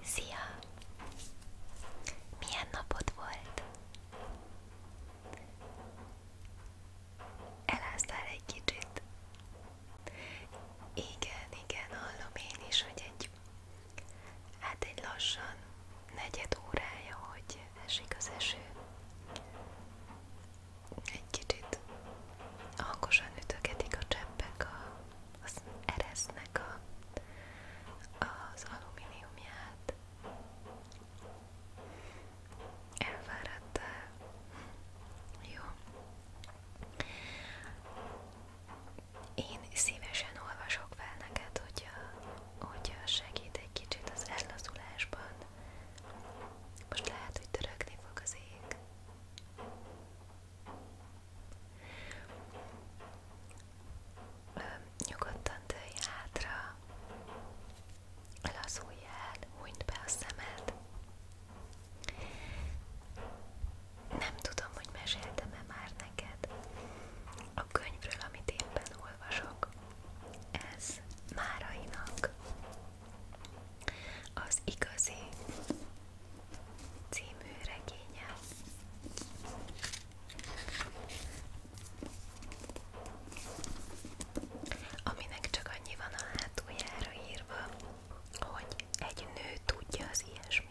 Szia! Milyen napod volt? Eláztál egy kicsit? Igen, igen, hallom én is, hogy egy, hát egy lassan negyed órája, hogy esik az eső. Egy kicsit hangosan ütögetik a cseppek a az eresznek a, az alumíniumját. Elfáradtál? Eh, jó. Én szívesen olvasok fel neked, hogyha, hogyha segít egy kicsit az ellazulásban. Most lehet, hogy törökni fog az ég. Nyugodtan tölj hátra, lazulj el, hunyd be a szemed. Nem tudom, hogy meséltem-e már neked a könyvről, amit éppen olvasok. Ez Márainak az igazi című regénye. Aminek csak annyi van a hátuljára írva, hogy egy nő tudja az ilyesmit.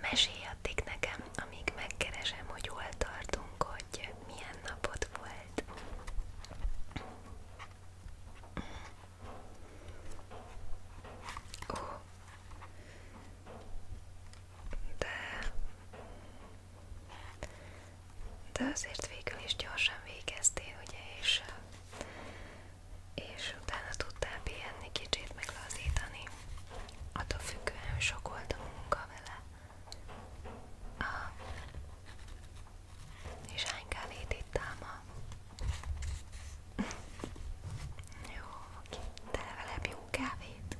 Meséljatok nekem, amíg megkeresem, hogy hol tartunk, hogy milyen napot volt. Ó, de de azért végül is gyorsan végeztél, ugye, és, és utána tudtál pihenni, kicsit meglazítani. Attól függően, hogy sok volt a munka vele. Aha. És hány kávét ittál ma? Jó, oké. De legalább jó kávét.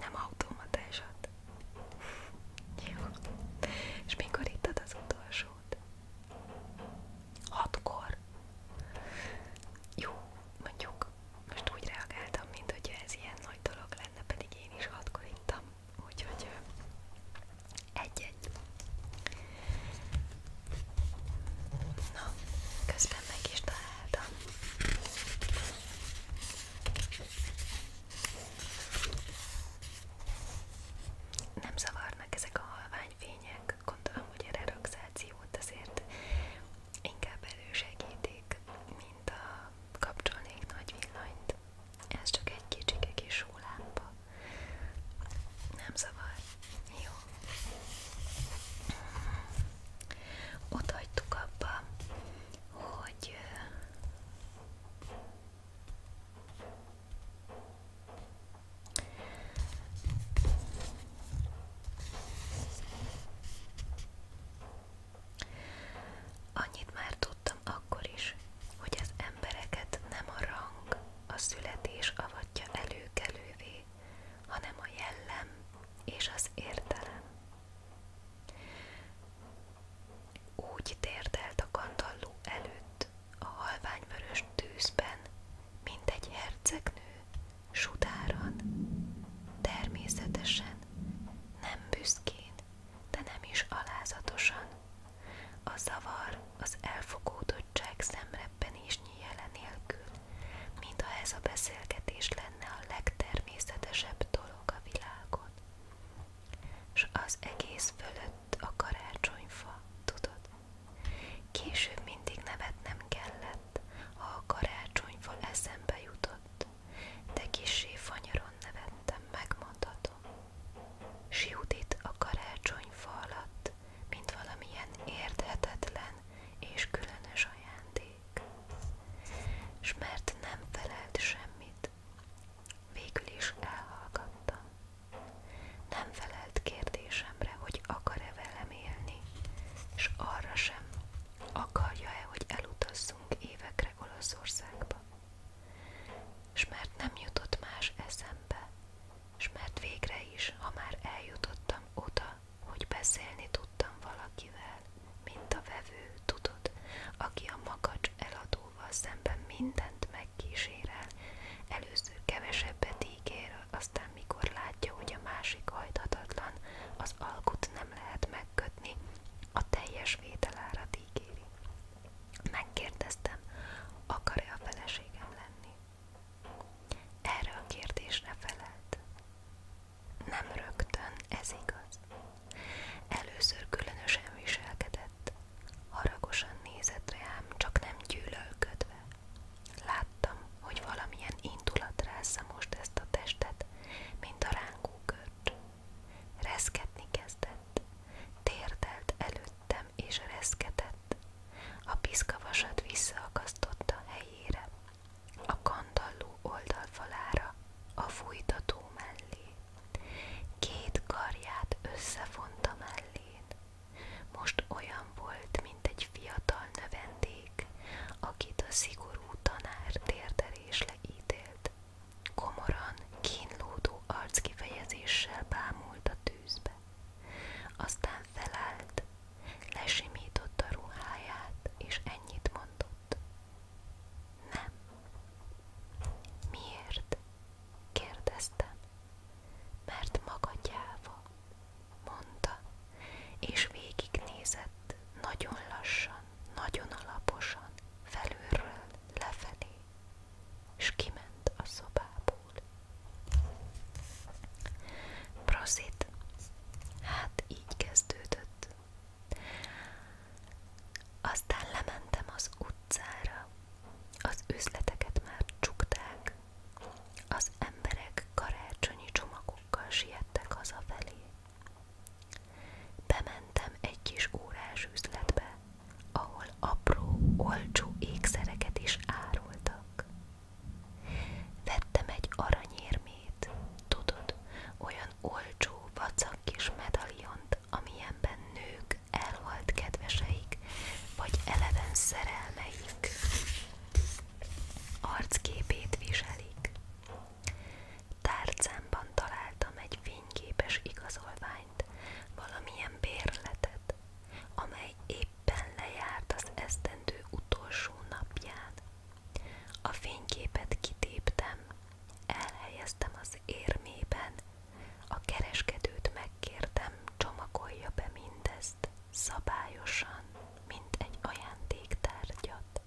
Nem automatásat volt. Jó. És mikor ittad az utolsót? Hatkor? Jó, mondjuk most úgy reagáltam, mint hogy ez ilyen nagy dolog lenne, pedig én is hatkor ittam. Úgyhogy egy-egy. Na, közben meg is találtam. Nem zavarnak ezek a halványfények, gondolom, hogy a relaxációt azért inkább elősegítik, mint a kapcsolnék nagy villanyt. Ez csak egy kicsike kis sólámpa. Nem zavar. Jó. Ott hagytuk abba hogy Annyit már tudtam akkor is, hogy az embereket nem a rang, a születés avatja előkelővé, hanem a jellem és az értelem. Úgy térdelt a kandalló előtt a halványvörös tűzben, mint egy hercegnő, sudáran, természetesen, nem büszkén, de nem is alázatosan. A zavar az elfogódottság szemrebbenési jele nélkül, mintha ez a beszélgetés lenne a legtermészetesebb dolog a világon. S az egész fölött a karácsonyfa, tudod? Később mindig nevetnem kellett, ha a karácsonyfa eszembe jutott, de kisé fanyaron nevettem, megmondhatom. Siudít a karácsonyfa alatt, mint valamilyen érthetetlen és különös ajándék és mert nem felelt semmit, végül is elhallgattam. Nem felelt kérdésemre, hogy akar-e velem élni, és arra sem, akarja-e, hogy elutazzunk évekre Olaszországba. És mert nem jutott más eszembe, és mert végre is, ha már eljutottam oda, hogy beszélni tudtam valakivel, mint a vevő, tudod, aki a makacs eladóval szemben mindent megkísérel, először kevesebbet ígér, aztán mikor látja, hogy a másik hajthatatlan, az alkut nem lehet megkötni, a teljes vételárat ígéri. Megkérdeztem, akar-e a feleségem lenni? Erre a kérdésre felelt. Nem rögtön, ez igaz. Először különösen viselkedett, haragosan nézett rám, csak nem gyűlölködve. Láttam, hogy valamilyen indulat rázza most ezt a testet, mint a rángó görcs. Reszketni kezdett, térdelt előttem és reszketett. A piszkavasat visszaakasztotta helyére, a kandalló oldalfalára, a fújtató mellé. Két karját összefonta mellén. Most olyan volt, mint egy fiatal növendék, akit a szigorú tanár térderésle ítélt. Komoran, kínlódó arckifejezéssel bámult a tűzbe. Aztán felállt, lesimította ruháját, és ennyit mondott. Nem. Miért? kérdeztem. Mert maga gyáva, mondta, és végignézett nagyon lassan, nagyon alaposan, felülről lefelé, és kiment a szobából. Prosit. Hát így kezdődött. Aztán lementem az utcára. Az üzleteket már csukták. Az emberek karácsonyi csomagokkal siettek hazafelé. Bementem egy kis órás üzletbe, ahol apró, olcsó ékszereket is árultak. Vettem egy aranyérmét, tudod, olyan olcsó, vacak kis medaliont, amilyenben nők elhalt kedveseik, vagy eleven szerelmeik arcképét viselik. Tárcámban találtam egy fényképes igazolványt, valamilyen bérletet, amely éppen lejárt az esztendő utolsó napján. A fényképet kitéptem, elhelyeztem az érmében, a kereskedőt megkértem, csomagolja be mindezt szabályosan, mint egy ajándéktárgyat.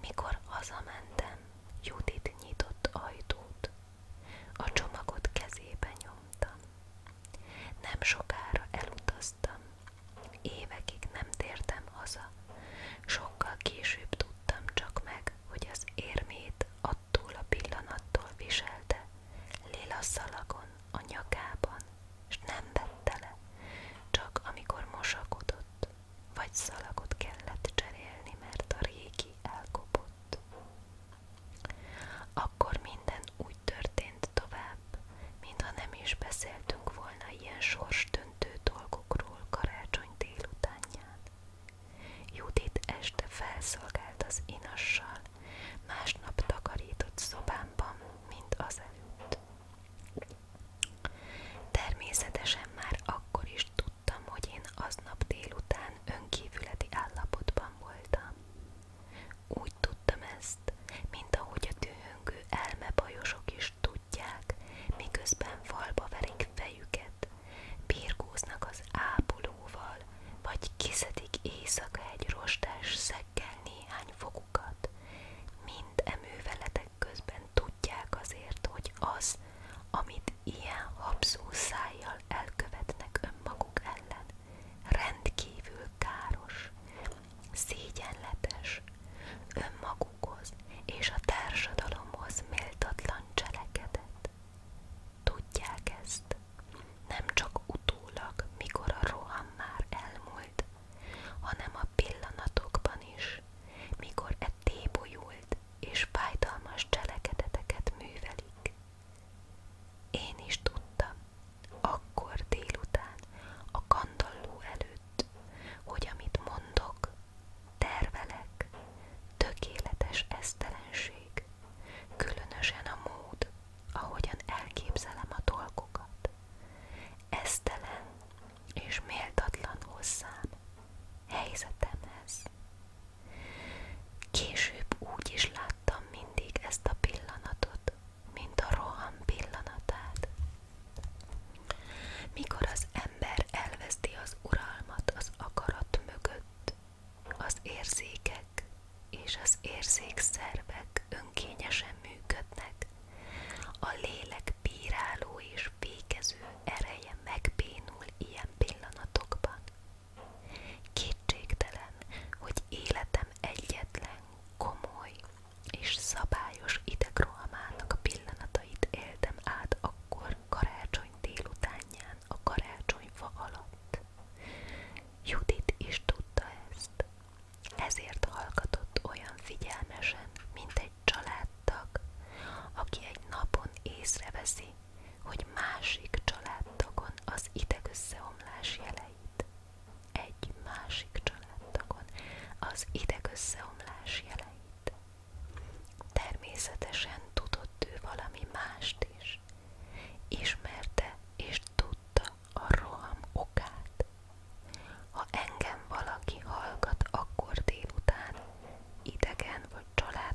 Mikor hazamentem, Judit nyitott ajtót. A csomagot kezébe nyomtam. Nem sokára elutaztam, évekig nem tértem haza, sokkal később tudtam csak meg, hogy az érmét attól a pillanattól viselte, lila szalagon, a nyakában, s nem vette le, csak amikor mosakodott, vagy szalagot kellett cserélni, mert a régi elkopott. Akkor minden úgy történt tovább, mintha nem is beszéltünk volna ilyen sorsdöntő dolgokról karácsony délutánján. Judit este felszolgált az inassal, másnap takarított szobámban, mint azelőtt. Természetesen már akkor is tudtam, hogy én aznap délután önkívületi állapotban voltam. Úgy tudtam ezt, mint ahogy a elmebajosok is tudják, miközben falba verik fejüket, birkóznak az ápolóval, vagy kiszedik éjszaka egy rostás szekkel néhány Mind e közben tudják azért, hogy az, amit ilyen habzó szájjal elkövetnek önmaguk ellen rendkívül káros, szégyenletes, önmagukhoz és a társadalomhoz méltatlan cselekedet. Tudják ezt, nem csak utólag, mikor a roham már elmúlt, hanem a pillanatokban is, mikor e tébolyult és fájdalmas cselekedeteket művelik. Én is tudtam, akkor délután, a kandalló előtt, hogy amit mondok, tervelek, tökéletes esztelenség, különösen a mód, ahogyan elképzelem a dolgokat. Esztelen és méltatlan hozzám, helyzetemhez, Később úgy is láttam mindig ezt a pillanatot, mint a roham pillanatát. Mikor az ember elveszti az uralmat az akarat mögött, az érzékek és az érzékszervek önkényesen működnek, a lélek bíráló és fékező ereje megbénul ilyen pillanatokban. Kétségtelen, hogy életem egyetlen komoly és szabályos idegrohamának pillanatait éltem át akkor karácsony délutánján a karácsonyfa alatt. Judit is tudta ezt, ezért hallgatott olyan figyelmesen, mint egy családtag, aki egy napon észreveszi, hogy másik családtagon az idegösszeomlás jeleit. Egy másik családtagon az idegösszeomlás jeleit. Természetesen tudott valami mást is. Ismerte és tudta a roham okát. Ha engem valaki hallgat akkor délután, idegen vagy család,